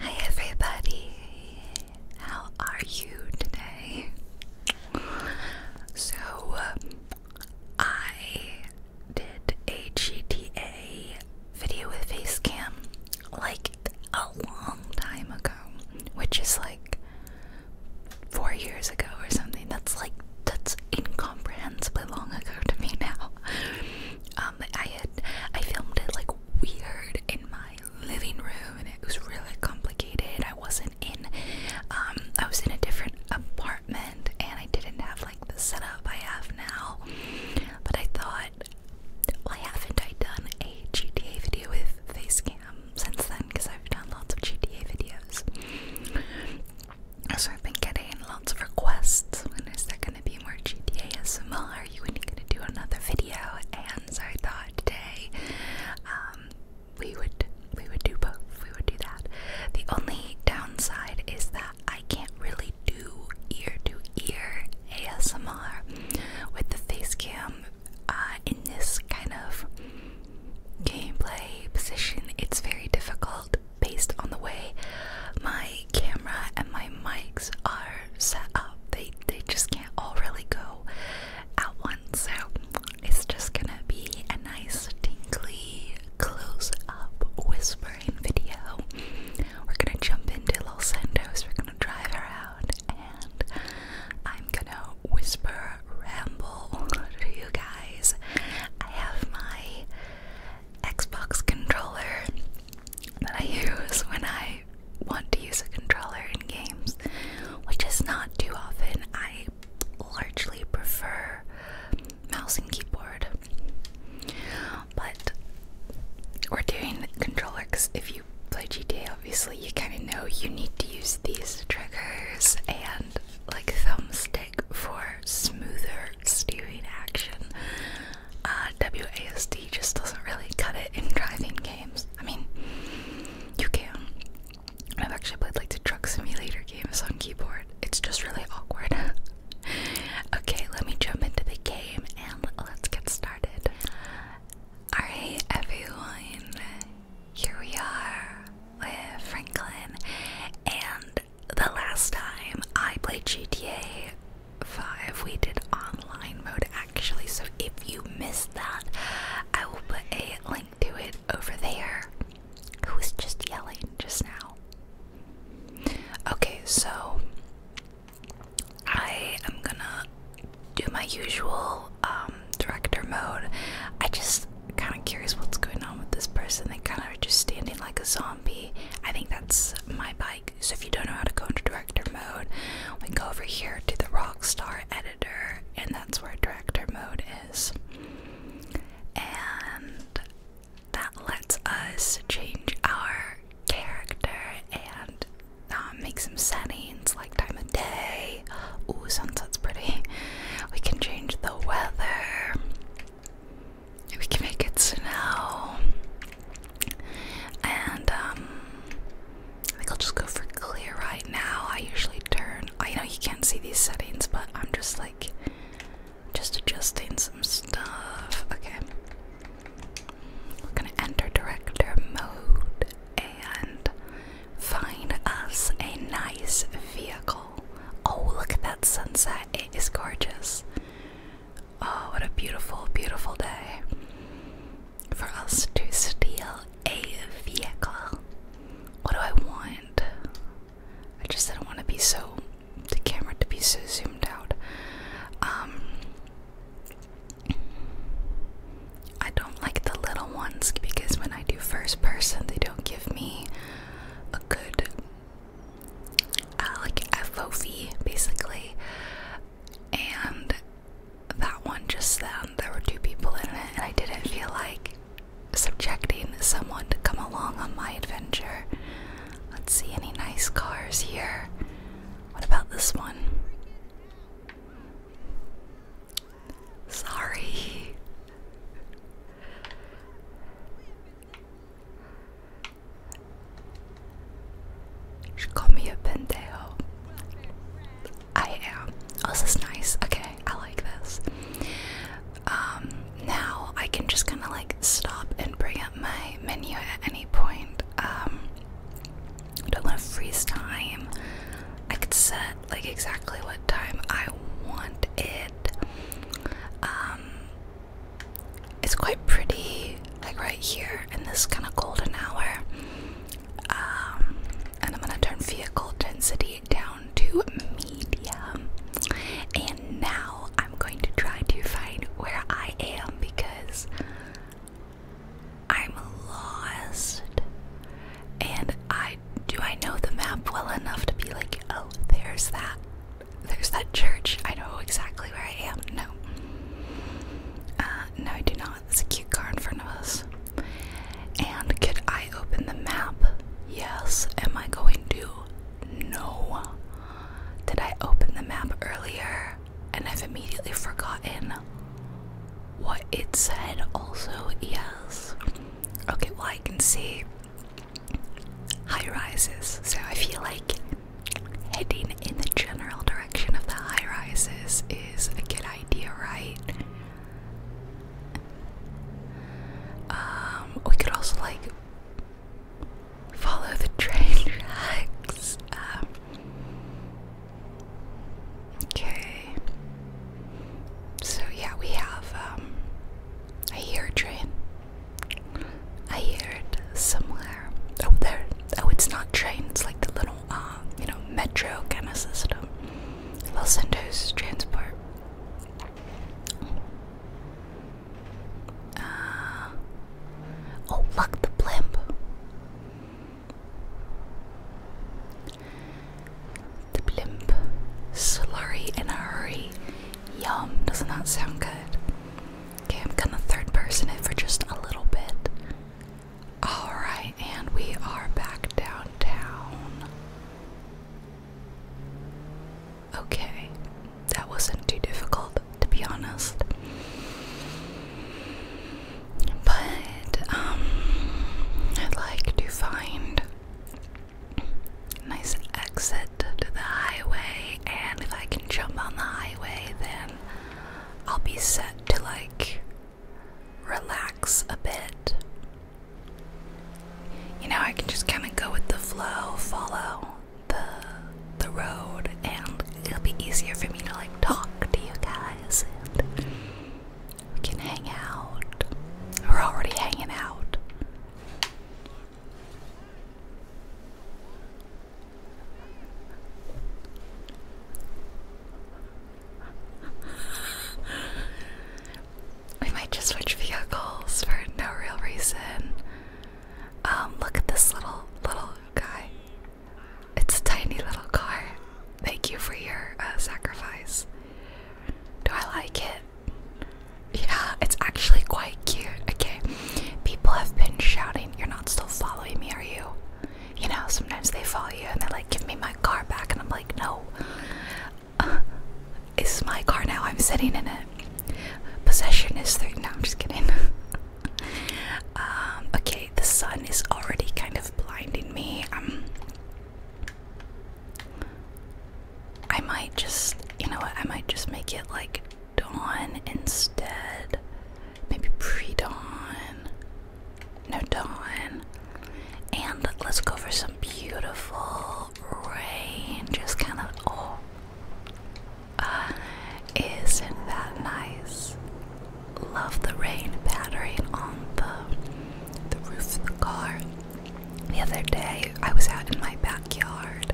Hi everybody, how are you today? So, um, I did a GTA video with Facecam like a long time ago, which is like four years ago or something. That's like, that's incomprehensibly long ago to me now. Um, I had I filmed it like weird in my living room and it was really complicated. I wasn't in um, I was in a different apartment and I didn't have like the setup I have now. But I thought why haven't I done a GTA video with Facecam since then? Because I've done lots of GTA videos. So I've been getting lots of requests. When is that going gonna more GTA ASMR. You and gonna do another video, and so I thought today um, we would we would do both. We would do that. The only downside is that I can't really do ear to ear ASMR with the face cam uh, in this kind of gameplay position. It's very difficult based on the way my camera and my mics are set up, they they just can't all really go at once. So it's just gonna be a nice tingly close up whispering video. We're gonna jump into Los Santos, we're gonna drive around and I'm gonna whisper ramble to you guys. I have my Xbox controller that I use when I want to use a controller in games, which is not too often. I largely prefer mouse and keyboard, but we're doing controller because if you play GTA, obviously, you kind of know you need to use these triggers and like thumbstick for smoother steering action. Uh, WASD just doesn't really cut it in driving games. I mean, you can. I've actually played like the truck simulator games on keyboard. It's just really awkward. okay, let me jump into the game and let's get started. Alright, everyone, here we are with Franklin. And the last time I played GTA, five we did online mode actually so if you missed that i will put a link to it over there who was just yelling just now okay so i am gonna do my usual um, director mode i just kind of curious what's going on with this person they kind of are just standing like a zombie i think that's my bike so if you don't know how to go into director mode we go over here to the rockstar editor and that's where director mode is and that lets us change our character and um, make some settings like time of day ooh sunset's pretty we can change the weather we can make it snow. And um, I think I'll just go for clear right now. I usually turn I know you can't see these settings, but I'm just like just adjusting some stuff. Okay. We're gonna enter director mode and find us a nice vehicle. Oh, look at that sunset. It is gorgeous. Oh, what a beautiful, beautiful day for us to steal a vehicle. What do I want? I just do not want to be so the camera to be so zoomed out. Um I don't like the little ones because when I do first person they don't give me a good uh, like FOV basically, and that one just then there were two people in it, and I didn't feel like subjecting someone to come along on my adventure. Let's see any nice cars here. What about this one? Sorry. She called me a pendejo. I am. Oh, this is nice. Okay, I like this. Um, now I can just kind of like stop and bring up my menu at any point. Um, I don't want to freeze time. I could set like exactly what time I want it. Um, it's quite pretty, like right here in this kind of golden hour. Um, and I'm gonna turn vehicle density down to medium. And now I'm going to try to find where I am because I'm lost. And I do I know the map well enough to be like, oh, there's that there's that church. I know exactly where I am. No. Uh, no, I do not. There's a cute car in front of us. And could I open the map? Yes. Am I going to? No. Did I open the map earlier and I've immediately forgotten what it said? Also, yes. Okay, well, I can see high rises, so I feel like heading in the general direction of the high rises is a good idea, right? Um, we could also like follow the train tracks. Um, okay. So yeah, we have um I hear train. I heard somewhere. Oh, there. Oh, it's not train. It's like the little, uh, you know, metro kind of system. Los Santos Transport. Uh, oh, look, the blimp. The blimp. Slurry in a hurry. Yum. Doesn't that sound good? Okay, I'm gonna third person it for just a little bit. Alright, and we are back downtown. Okay, that wasn't too difficult to be honest. But, um, I'd like to find nice exit to the highway, and if I can jump on the highway, then I'll be set to like relax a bit. You know, I can just kind of go with the flow, follow the the road, and it'll be easier for me to like talk to you guys. And we can hang out. We're already hanging out we might just switch vehicles for no real reason. Um, look at this little little guy. It's a tiny little car. Thank you for your uh, sacrifice. Do I like it? Yeah, it's actually quite cute. Okay, people have been shouting. You're not still following me, are you? You know, sometimes they follow you and they're like, give me my car back. And I'm like, no, it's my car now. I'm sitting in it. Possession is three. Now I'm just kidding. Um, okay, the sun is already kind of blinding me. Um, I might just, you know what, I might just make it like dawn instead. Maybe pre dawn. No, dawn. And let's go for some beautiful rain. Just kind of, oh. Uh, isn't that nice? Love the rain pattering on the, the roof of the car. The other day, I was out in my backyard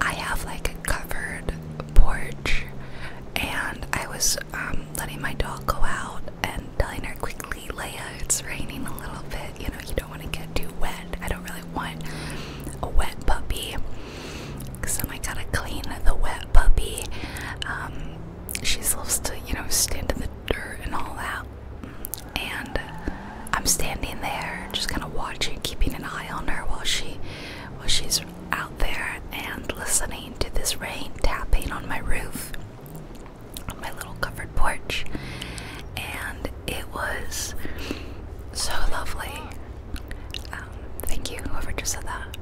I have like a covered porch, and I was um, letting my dog go out and telling her quickly, Leia, it's raining a little bit. You know, you don't want to get too wet. I don't really want a wet puppy, so I gotta clean the wet puppy. Um, she loves to, you know, stand in the dirt and all that. And I'm standing there, just kind of watching, keeping an eye on her while she, while she's out there and listening to this rain tapping on my roof, on my little covered porch, and it was so lovely. Um, thank you, whoever just said that.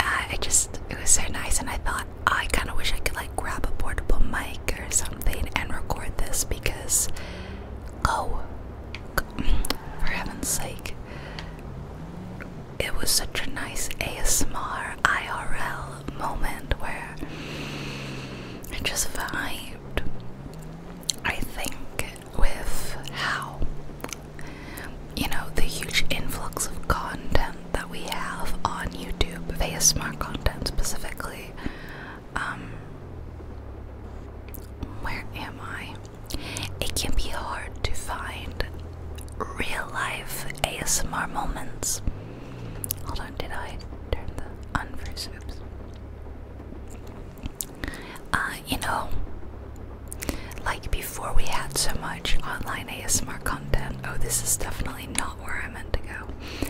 I just, it was so nice, and I thought I kind of wish I could like grab a portable mic or something and record this because, oh, for heaven's sake. It was such a nice ASMR IRL moment where I just vibed. I think with how, you know, the huge influx of content that we have on YouTube, of ASMR content specifically. Um, where am I? It can be hard to find real life ASMR moments. Hold on, did I turn the on for soups? Uh, you know, like before we had so much online ASMR content. Oh, this is definitely not where I meant to go.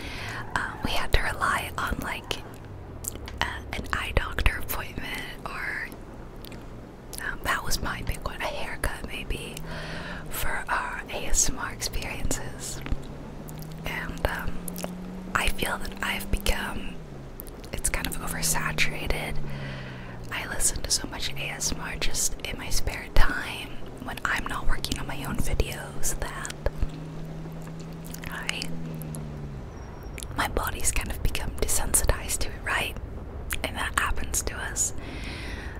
Um, we had to rely on like uh, an eye doctor appointment or um, that was my big one, a haircut maybe for our ASMR experiences. And um, I feel that I've become, it's kind of oversaturated. I listen to so much ASMR just in my spare time when I'm not working on my own videos that I my body's kind of become desensitized to it, right? And that happens to us.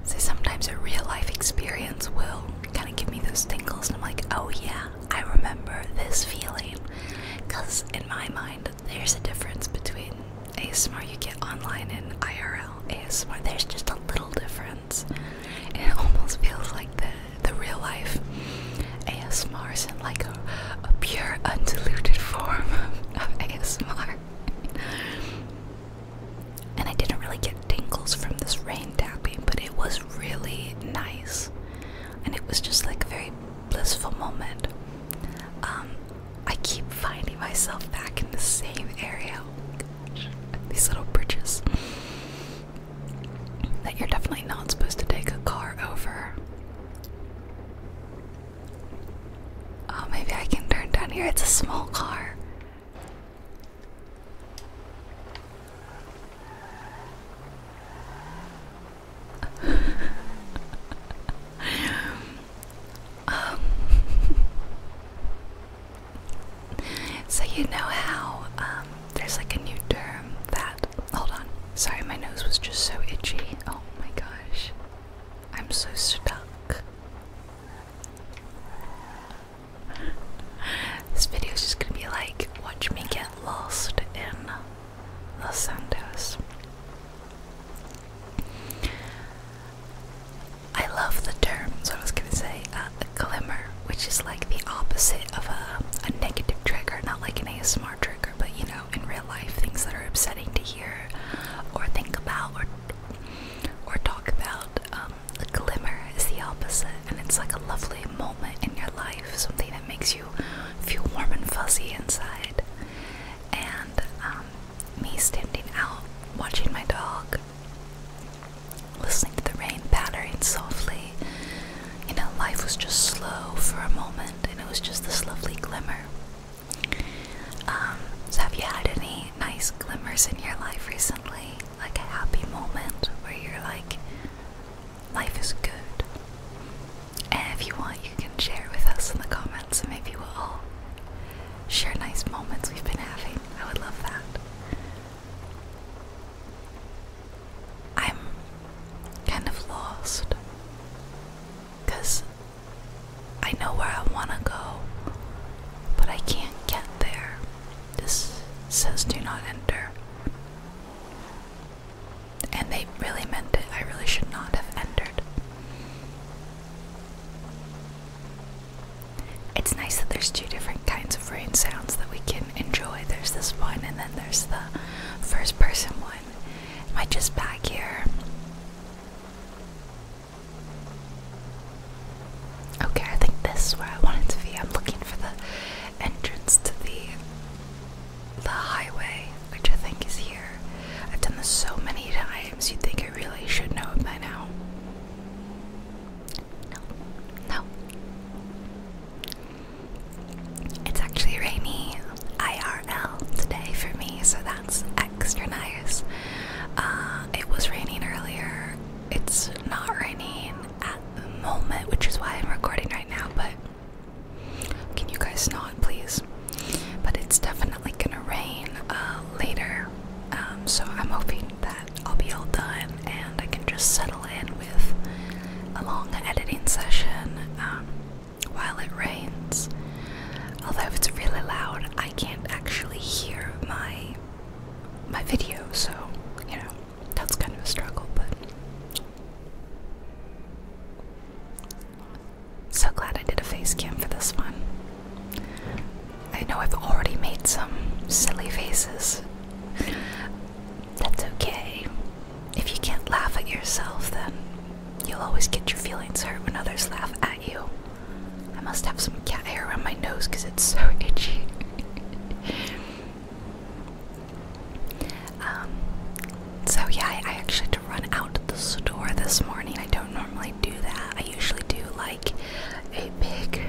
So sometimes a real life experience will kind of give me those tingles, and I'm like, oh yeah, I remember this feeling. Because in my mind, there's a difference between ASMR you get online and IRL ASMR. There's just a little difference. And it almost feels like the, the real life ASMR isn't like a pure, undiluted form of ASMR. And I didn't really get tingles from this rain tapping, but it was really nice. And it was just like a very blissful moment. Um, I keep finding myself back in the same area. Oh gosh, these little bridges that you're definitely not supposed to take a car over. Oh, maybe I can turn down here. It's a small car. um, so, you know how um, there's like a new term that Hold on. Sorry, my nose was just so itchy. Oh my gosh. I'm so stuck. This video is just gonna be like, watch me get lost in the sand dunes. I love the term, so I was gonna say a uh, glimmer, which is like the opposite of a negative trigger, not like an ASMR trigger, but you know, in real life, things that are upsetting to hear or think about or or talk about. a um, glimmer is the opposite, and it's like a lovely moment in your life, something that makes you feel warm and fuzzy inside. And um, me standing out, watching my dog, listening to the rain pattering softly, you know, life was just slow for a moment and it was just this lovely glimmer. Um, have you had any nice glimmers in your life recently? Like a happy moment where you're like, life is good. And if you want, you can share with us in the comments and maybe we'll all share nice moments we've been having. I would love that. I'm kind of lost because I know where I want to go, but I can't get there. This says do not enter. And they really meant it. I really should not have entered. It's nice that there's two different kinds of rain sounds that we can enjoy. There's this one, and then there's the first person one on? Am I just back here? Okay, I think this is where I wanted to be. I'm looking for the entrance to the the highway, which I think is here. I've done this so many times, you'd think I really should know it by now. No, no. It's actually rainy IRL today for me, so that's extra nice. Uh, it was raining earlier. It's not raining at the moment, which is why I'm recording right now, but can you guys not, please? But it's definitely gonna rain uh, later, um, so I'm hoping that I'll be all done and I can just settle in with a long editing session. Um, while it rains. Although it's really loud, I can't actually hear my my video, so you know, that's kind of a struggle, but so glad I did a face cam for this one. I know I've already made some silly faces that's okay. If you can't laugh at yourself, then you'll always get your feelings hurt when others laugh at you. I must have some cat hair on my nose because it's so itchy. um, so, yeah, I, I actually had to run out to the store this morning. I don't normally do that. I usually do like a big,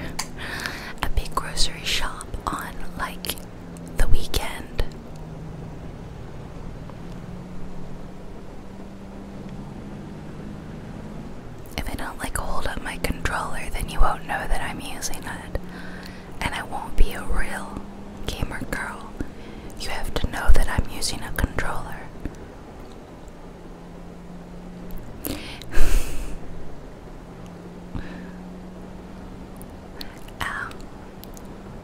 a big grocery shop on like the weekend. If I don't like hold up my controller, then you won't know that I'm using it, and I won't be a real gamer girl. You have to know that I'm using a controller. um,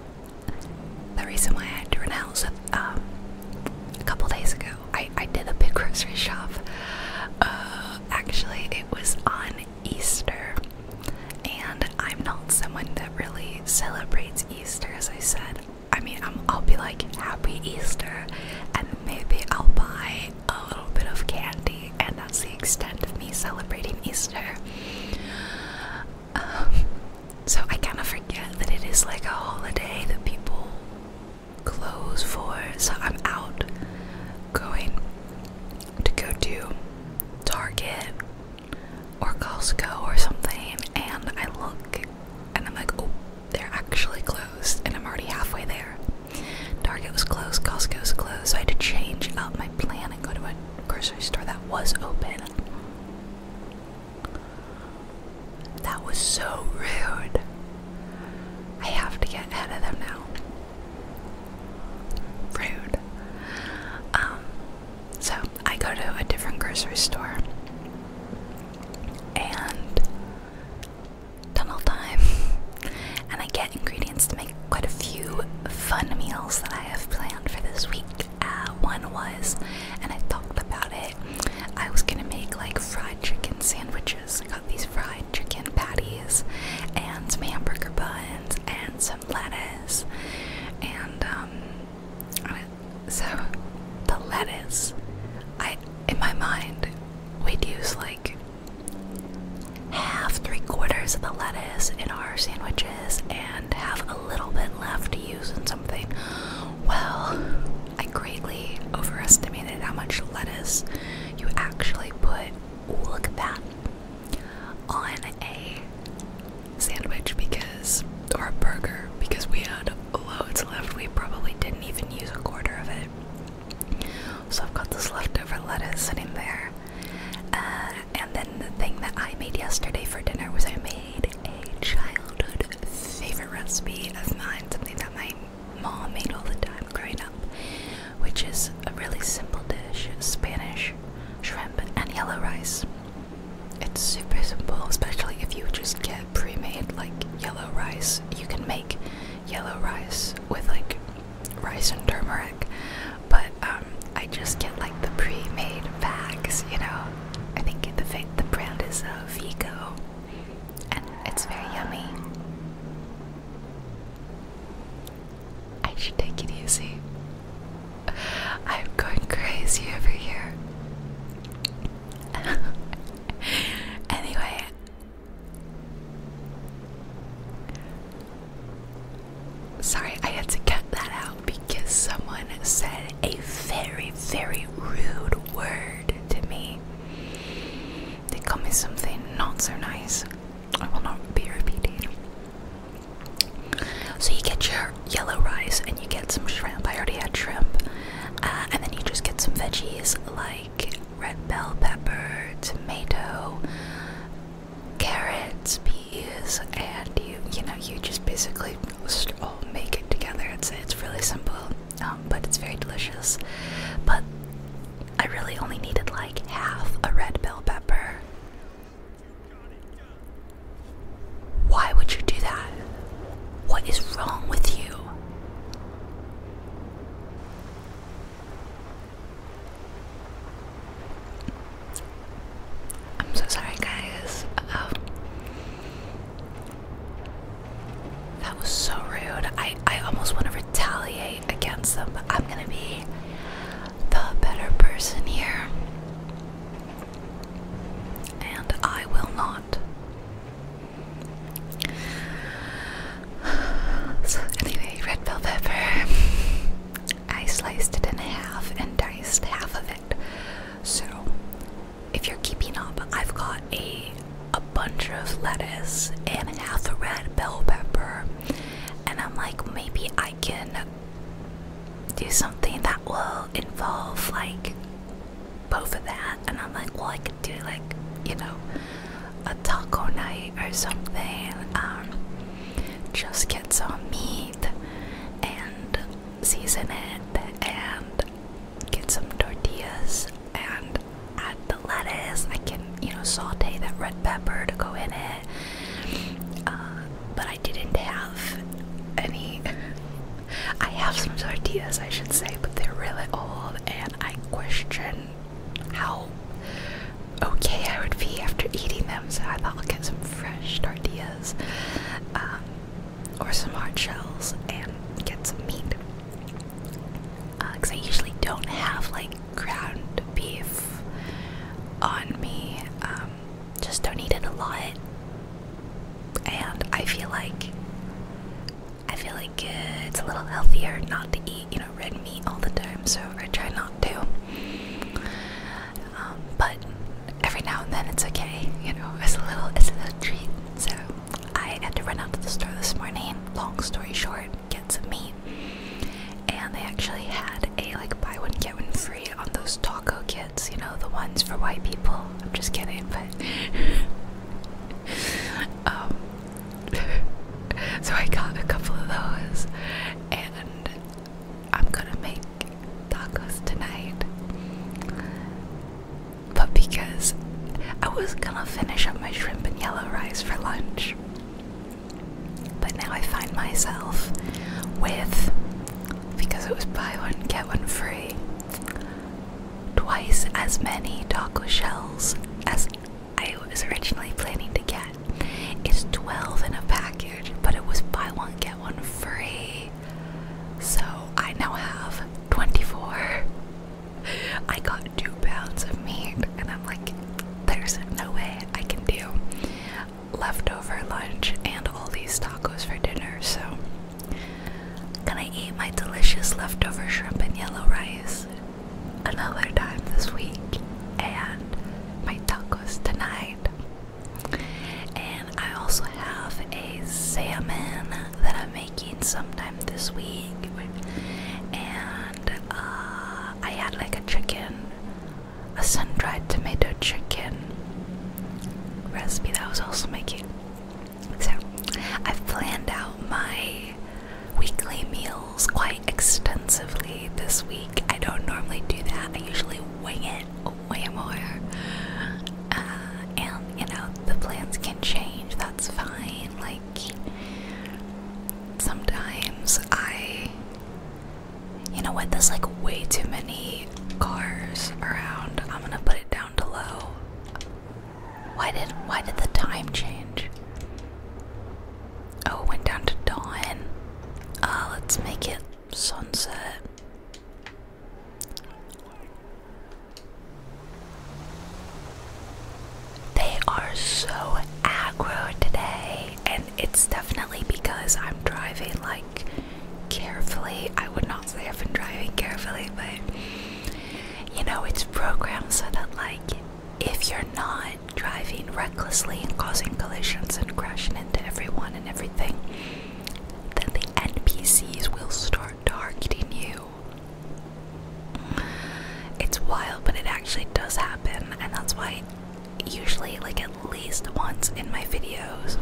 the reason why I had to renounce um, a couple days ago, I, I did a big grocery shop. Uh, actually, it was on Easter, and I'm not someone that really celebrates Easter, as I said. I mean, I'll be like, Happy Easter, and maybe I'll buy a little bit of candy, and that's the extent of me celebrating Easter. Um, so I kind of forget that it is like a holiday that people close for. So I'm out going to go to Target or Costco or something, and I look and I'm like, oh, they're actually closed, and I'm already halfway there. Target was closed, Costco was closed, so I had to change out my plan and go to a grocery store that was open. That was so rude. I have to get ahead of them now. Rude. Um, so I go to a different grocery store and tunnel time, and I get ingredients to make quite a few fun meals that I have planned for this week. Uh, one was, and I talked about it, I was gonna make like fried chicken sandwiches. I got these fried chicken patties and some hamburger buns and some lettuce and um so the lettuce I in my mind we'd use like half three quarters of the lettuce in our sandwiches and have a little bit left to use in something. Well, I greatly overestimated how much lettuce you actually put. Look at that on a sandwich because, or a burger, because we had loads left. We probably didn't even use a quarter of it. So I've got this leftover lettuce sitting there, and then the thing that I made yesterday for dinner was I made a childhood favorite recipe of mine, something that my mom made all the time growing up, which is a really simple dish Spanish shrimp and yellow rice. It's super simple, especially if you just get pre made like yellow rice. You can make yellow rice with like rice and turmeric but um, I just get like the pre-made bags, you know. I think the the brand is uh, Vigo, and it's very yummy. I should take it easy. I'm going crazy over here. anyway. Sorry, I had to cut that out because someone said a very, very rude word to me. They called me something not so nice. I will not be repeated. So you get your yellow rice and you get some shrimp. I already had shrimp. Uh, and then you just get some veggies like red bell pepper, tomato, carrots, peas, and you you know you just basically all make it together. It's it's really simple, um, but it's very delicious. But I really only needed like half a red bell pepper. Why would you do that? What is wrong with you? I'm so sorry, guys. Um, that was so rude. I, I almost want to retaliate against them, but I'm gonna be the better person here. And I will not. So, anyway, red bell pepper. I sliced it in half and diced half of it. So, if you're keeping up, I've got a a bunch of lettuce and half a red bell pepper, and I'm like, maybe I can do something that will involve like both of that. And I'm like, well, I could do like you know a taco night or something. Um, just get some meat and season it and get some tortillas and add the lettuce. I can, you know, saute that red pepper to go in it. Uh, but I didn't have any. I have some tortillas, I should say, but they're really old and I question how okay I would be after eating them, so I thought I'll get some fresh tortillas um, or some hard shells and get some meat. Because uh, I usually don't have like ground beef on me, um, just don't eat it a lot. And I feel like I feel like it's a little healthier not to eat, you know, red meat all the time. So I try not to. Um, but every now and then it's okay, you know, it's a little it's a little treat. So I had to run out to the store this morning, long story short, get some meat. And they actually had a like buy one get one free on those taco kits, you know, the ones for white people. I'm just kidding, but um so I got a couple of those and I'm gonna make tacos tonight. But because I was gonna finish up my shrimp and yellow rice for lunch, but now I find myself with, because it was buy one, get one free, twice as many taco shells as I was originally planning to get. It's 12 in a package, but it was buy one, get one free. So I now have 24. I got two pounds of meat, and I'm like, there's no way I can do leftover lunch and all these tacos for dinner. So i gonna eat my delicious leftover shrimp and yellow rice another time this week and my tacos tonight. And I also have a salmon that I'm making sometime this week. And uh, I had like a chicken, a sun dried tomato chicken recipe that I was also making. So I've planned out my weekly meals quite extensively this week. I don't normally do that. I usually wing it way more. Uh, and, you know, the plans can change, that's fine. Like, sometimes I. You know what? There's like way too many cars around. I'm gonna put it down to low. Why did why did the time change? Oh, it went down to dawn. Uh, let's make it sunset. They are so aggro today, and it's definitely because I'm driving like carefully. I would not say I've been driving carefully, but you know, it's programmed so that, like, if you're not driving recklessly and causing collisions and crashing into everyone and everything, then the NPCs will start targeting you. It's wild, but it actually does happen, and that's why usually, like at least once in my videos,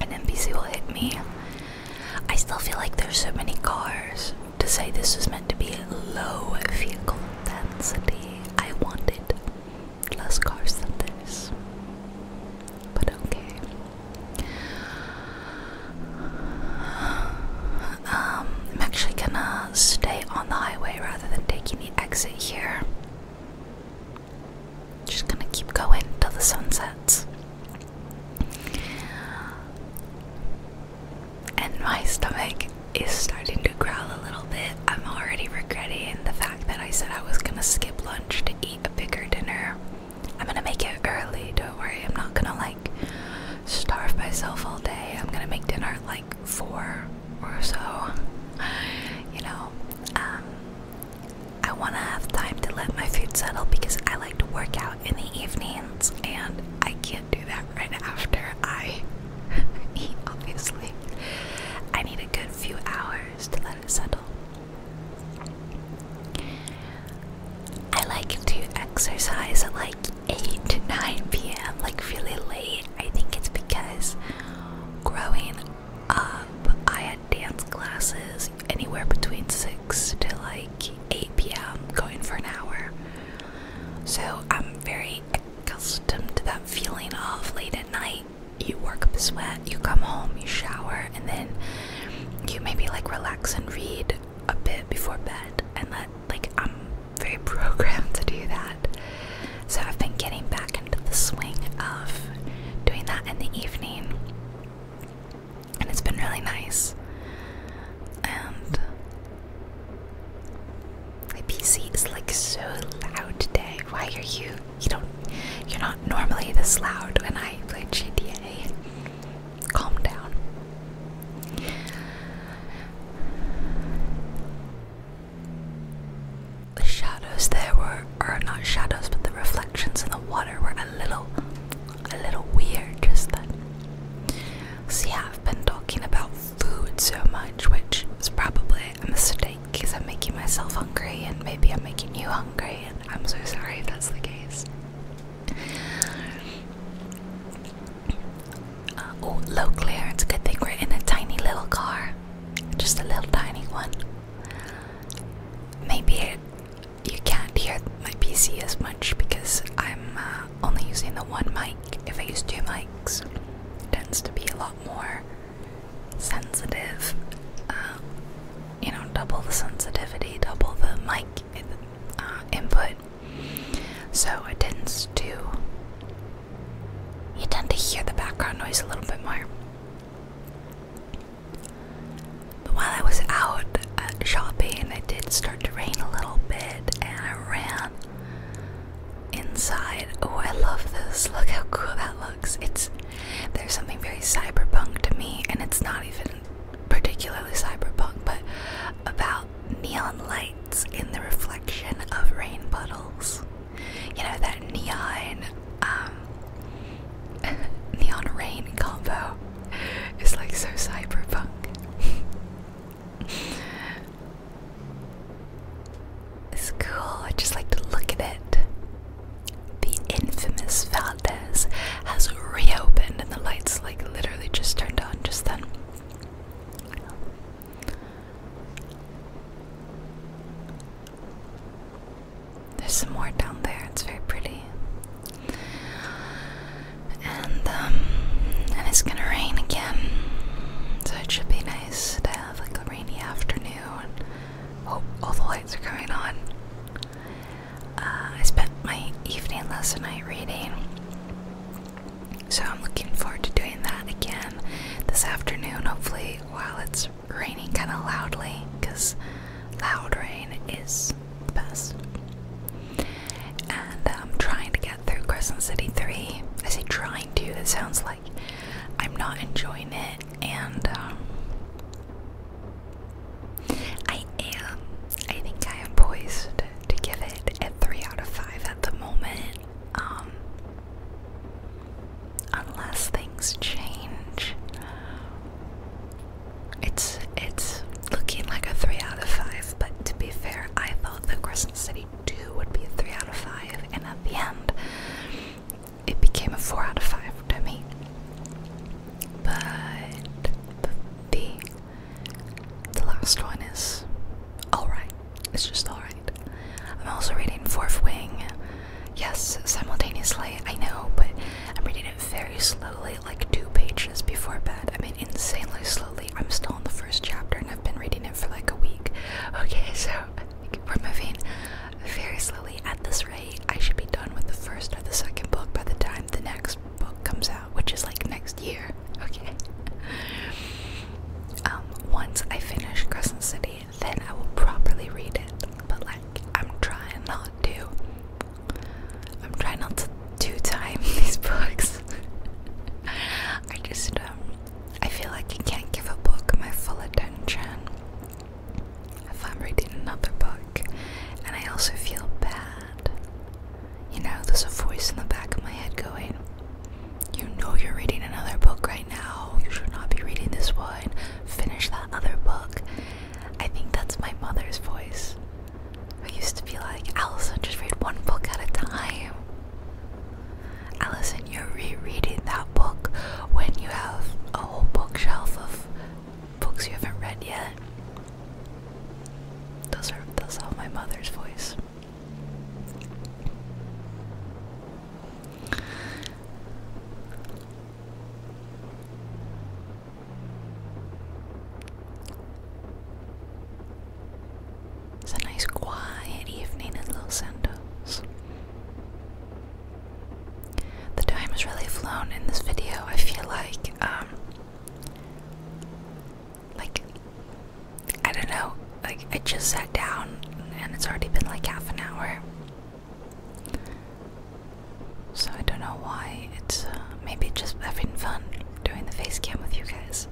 an NPC will hit me. I still feel like there's so many cars to say this was meant to be a low vehicle density. I wanted less cars than this. But okay. Um, I'm actually gonna stay on the highway rather than taking the exit here. Just gonna keep going till the sun sets. And my stomach is starting to growl a little bit. I'm already regretting the fact that I said I was gonna skip lunch to eat a bigger dinner. I'm gonna make it early, don't worry. I'm not gonna like starve myself all day. I'm gonna make dinner like four or so. You know, um, I wanna have time to let my food settle because I like to work out in the evenings and I can't do that right after I eat, obviously. I need a good few hours to let it settle. I like to exercise at like 8 to 9 p.m., like really late. I think it's because growing up, I had dance classes anywhere between 6 to like 8 p.m., going for an hour. So I'm very accustomed to that feeling of late at night you work up a sweat, you come home, you shower, and then you maybe like relax and read a bit before bed. And that, like, I'm very programmed to do that. So I've been getting back into the swing of doing that in the evening. And it's been really nice. And my PC is like so loud today. Why are you? You don't. You're not normally this loud when I play GTA. Calm down. The shadows there were, are not shadows, but the reflections in the water were a little, a little weird just then. See, I've been talking about food so much, which is probably a mistake because I'm making myself hungry and maybe I'm making you hungry, and I'm so sorry if that's the case. Uh, oh, low clearance. Good thing we're in a tiny little car, just a little tiny one. Maybe you can't hear my PC as much because I'm uh, only using the one mic. If I use two mics, tends to be a lot more sensitive, uh, you know, double the sensitivity, double the mic uh, input. So it tends to, you tend to hear the background noise a little bit more. But while I was out uh, shopping, it did start to rain a little bit, and I ran inside. Oh, I love this. Look how cool that looks. It's there's something very cyberpunk to me, and it's not even particularly cyberpunk, but about neon lights in the reflection of rain puddles. You know that neon um neon rain combo is like so cyberpunk. It's cool, I just like to look at it. The infamous Valdez has reopened and the lights like literally just turned on just then. There's some more down there, it's very pretty. And um, and it's gonna rain again. So it should be nice to have a good rainy afternoon. Hope all the lights are coming on. Uh, I spent my evening last night reading, so I'm looking forward to doing that again this afternoon, hopefully, while it's raining kind of loudly, because loud rain is the best. And I'm trying to get through Crescent City 3. I say trying to, it sounds like. I'm not enjoying it, and um, I am. I think I am poised to give it a three out of five at the moment, um, unless things change. It's it's looking like a three out of five, but to be fair, I thought the Crescent City two would be a three out of five, and at the end, it became a four out of five to me. But the the last one is alright. It's just alright. I'm also reading Fourth Wing. Yes, simultaneously, I know, but I'm reading it very slowly, like two pages before bed. I mean, insanely slowly. I'm still on the first chapter and I've been reading it for like a week. Okay, so we're moving very slowly at this rate. I should be done with the first or the second book by the time the next book comes out, which is like next year. Okay. Um, once I finish Crescent City, then I will properly read it. But like, I'm trying not to. I'm trying not to do time these books. I just um, I feel like I can't give a book my full attention if I'm reading another book, and I also feel bad. You know, there's a voice in the back of my head going, You know, you're reading another book right now, you should not be reading this one, finish that other book. I think that's my mother's voice. I used to be like, Allison, just read one book at a time. Allison, you're rereading that book when you have a whole bookshelf of books you haven't read yet. Those are those are my mother's voice. It's a nice quiet evening in Los Santos. The time has really flown in this video. I feel like, um, like, I don't know, like, I just sat down and it's already been like half an hour. So I don't know why. It's uh, maybe just having fun doing the face cam with you guys.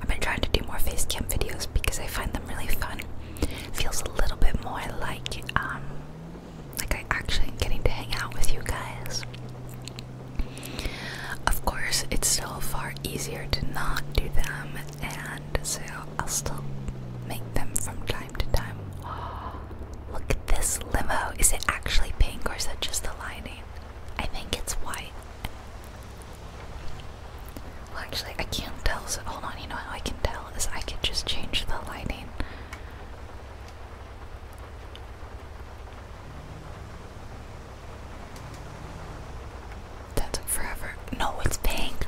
I've been trying to do more face cam videos because I find them really fun feels a little bit more like um, like I actually getting to hang out with you guys. Of course, it's still far easier to not do them, and so I'll still make them from time to time. look at this limo. Is it actually pink or is it just the lining? I think it's white. Well, actually, I can't tell, so hold on, you know how I can tell is I can just change the lighting. That took forever. No, it's pink.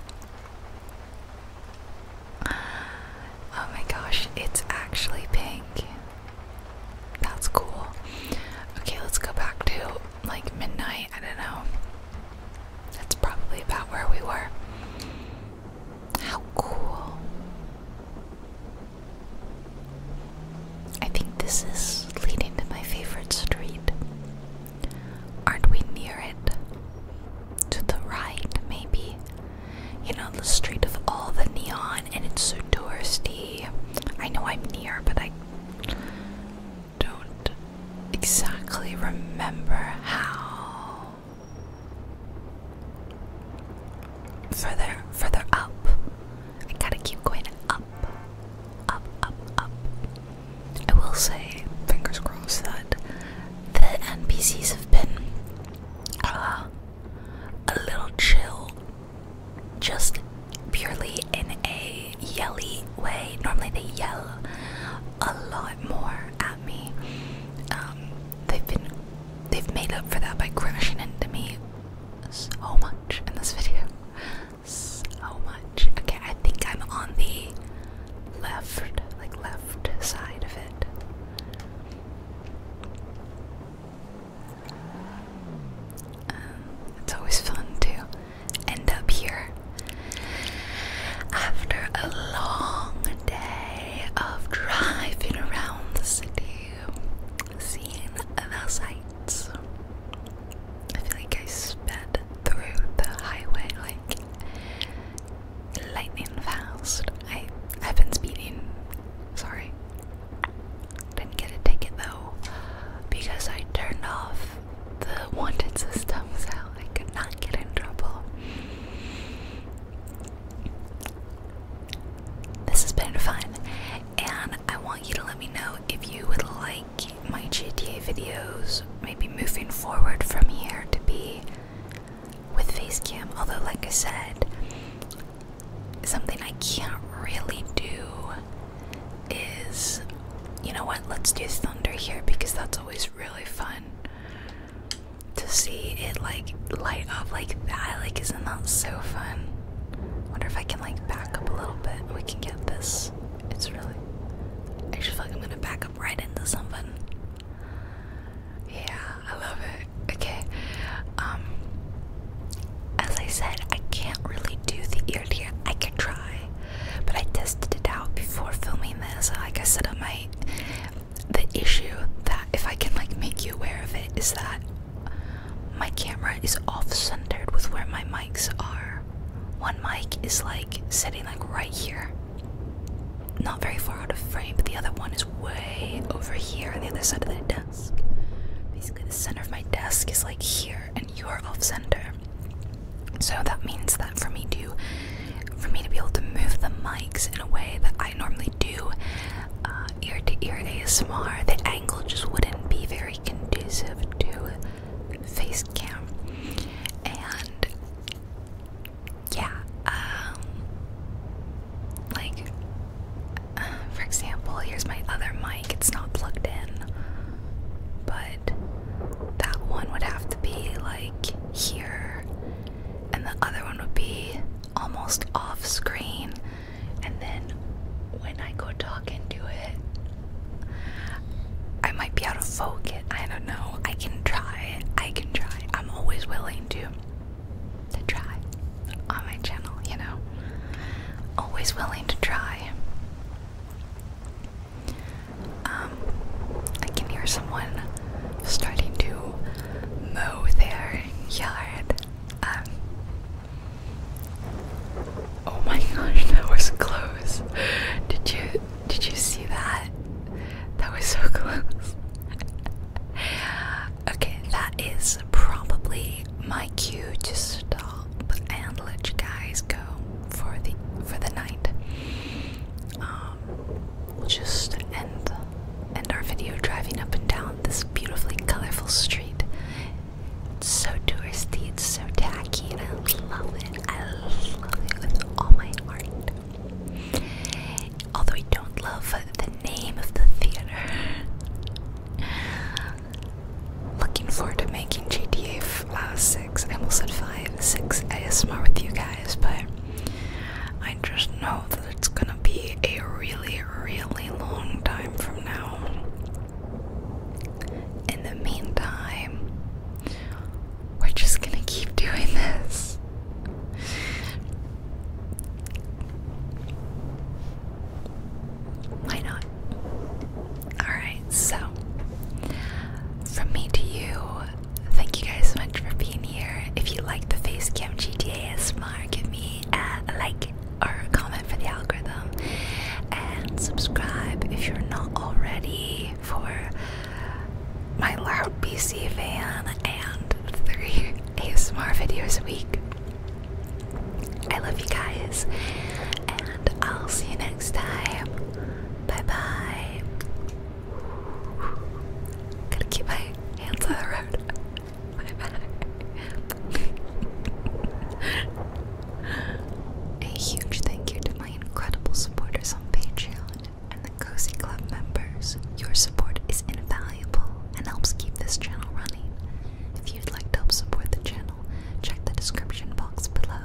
Oh my gosh, it's actually pink. That's cool. Okay, let's go back to like midnight. I don't know. That's probably about where we were. How cool. I think this is leading to my favorite street. Aren't we near it? To the right, maybe. You know, the street of all the neon, and it's so touristy. I know I'm near, but I don't exactly remember how. Further, further up. I gotta keep going up, up, up, up. I will say, fingers crossed, that the NPCs have been uh, a little chill, just purely in a yelly way. Normally they yell a lot more at me. Um, they've been they've made up for that by crashing into me so much in this video. So much. Okay, I think I'm on the left, like left side of it. Um, it's always fun too end up here. After a long day of driving around the city, seeing the sights, I feel like I sped through the highway like lightning fast. I, I've been speeding, sorry. Didn't get a ticket though because I turned off the wanted system, so I could not get in trouble. This has been fun, and I want you to let me know if you would like my GTA videos, maybe moving forward from here to be with Facecam. Although, like I said, something I can't really do is you know what? Let's do thunder here because that's always really fun to see it like light up like that. Like, isn't that so fun? Wonder if I can like back up a little bit. We can get this. It's really. I just feel like I'm gonna back up right into something. Yeah, I love it. Okay. Um. As I said, I can't really do the ear to I can try but I tested it out before filming this. Like I said, on my the issue that if I can like make you aware of it is that my camera is off-centered with where my mics are. One mic is like sitting like right here, not very far out of frame, but the other one is way over here on the other side of the desk. Basically, the center of my desk is like here and you're off center. So that means that for me to for me to be able to move the mics in a way that I normally do uh, ear to ear ASMR, the angle just wouldn't be very conducive to face cam. And yeah, um, like uh, for example, here's my other mic. It's not plugged in, but that one would have to be like here, and the other one would be almost off screen. And then when I go talk into it, I might be out of focus. I don't know. I can try. I can try. I'm always willing to to try on my channel, you know. Always willing to try. Um, I can hear someone starting to mow their yard. Um, oh my gosh, that was close. Did you did you see that? That was so close. okay, that is probably my cue to stop and let you guys go for the for the night. Um, we'll just end end our video driving up and down this beautifully colorful street. It's so touristy, it's so tacky, and I love it. I love it with all my heart. Although I don't love the name of the theater. Looking forward to making GTA uh, six, I almost said five, six ASMR with you guys, but I just know that it's gonna be a really, really long time from now. In the meantime, we're just gonna keep doing this. Why not? Alright, so from me to you, thank you guys so much for being here. If you like the Facecam GTA ASMR, give me a like or a comment for the algorithm. And subscribe if you're not already for my loud PC fan and three ASMR videos a week. I love you guys, I'll see you next time. Bye bye. Gotta keep my hands on the road. A huge thank you to my incredible supporters on Patreon and the Cozy Club members. Your support is invaluable and helps keep this channel running. If you'd like to help support the channel, check the description box below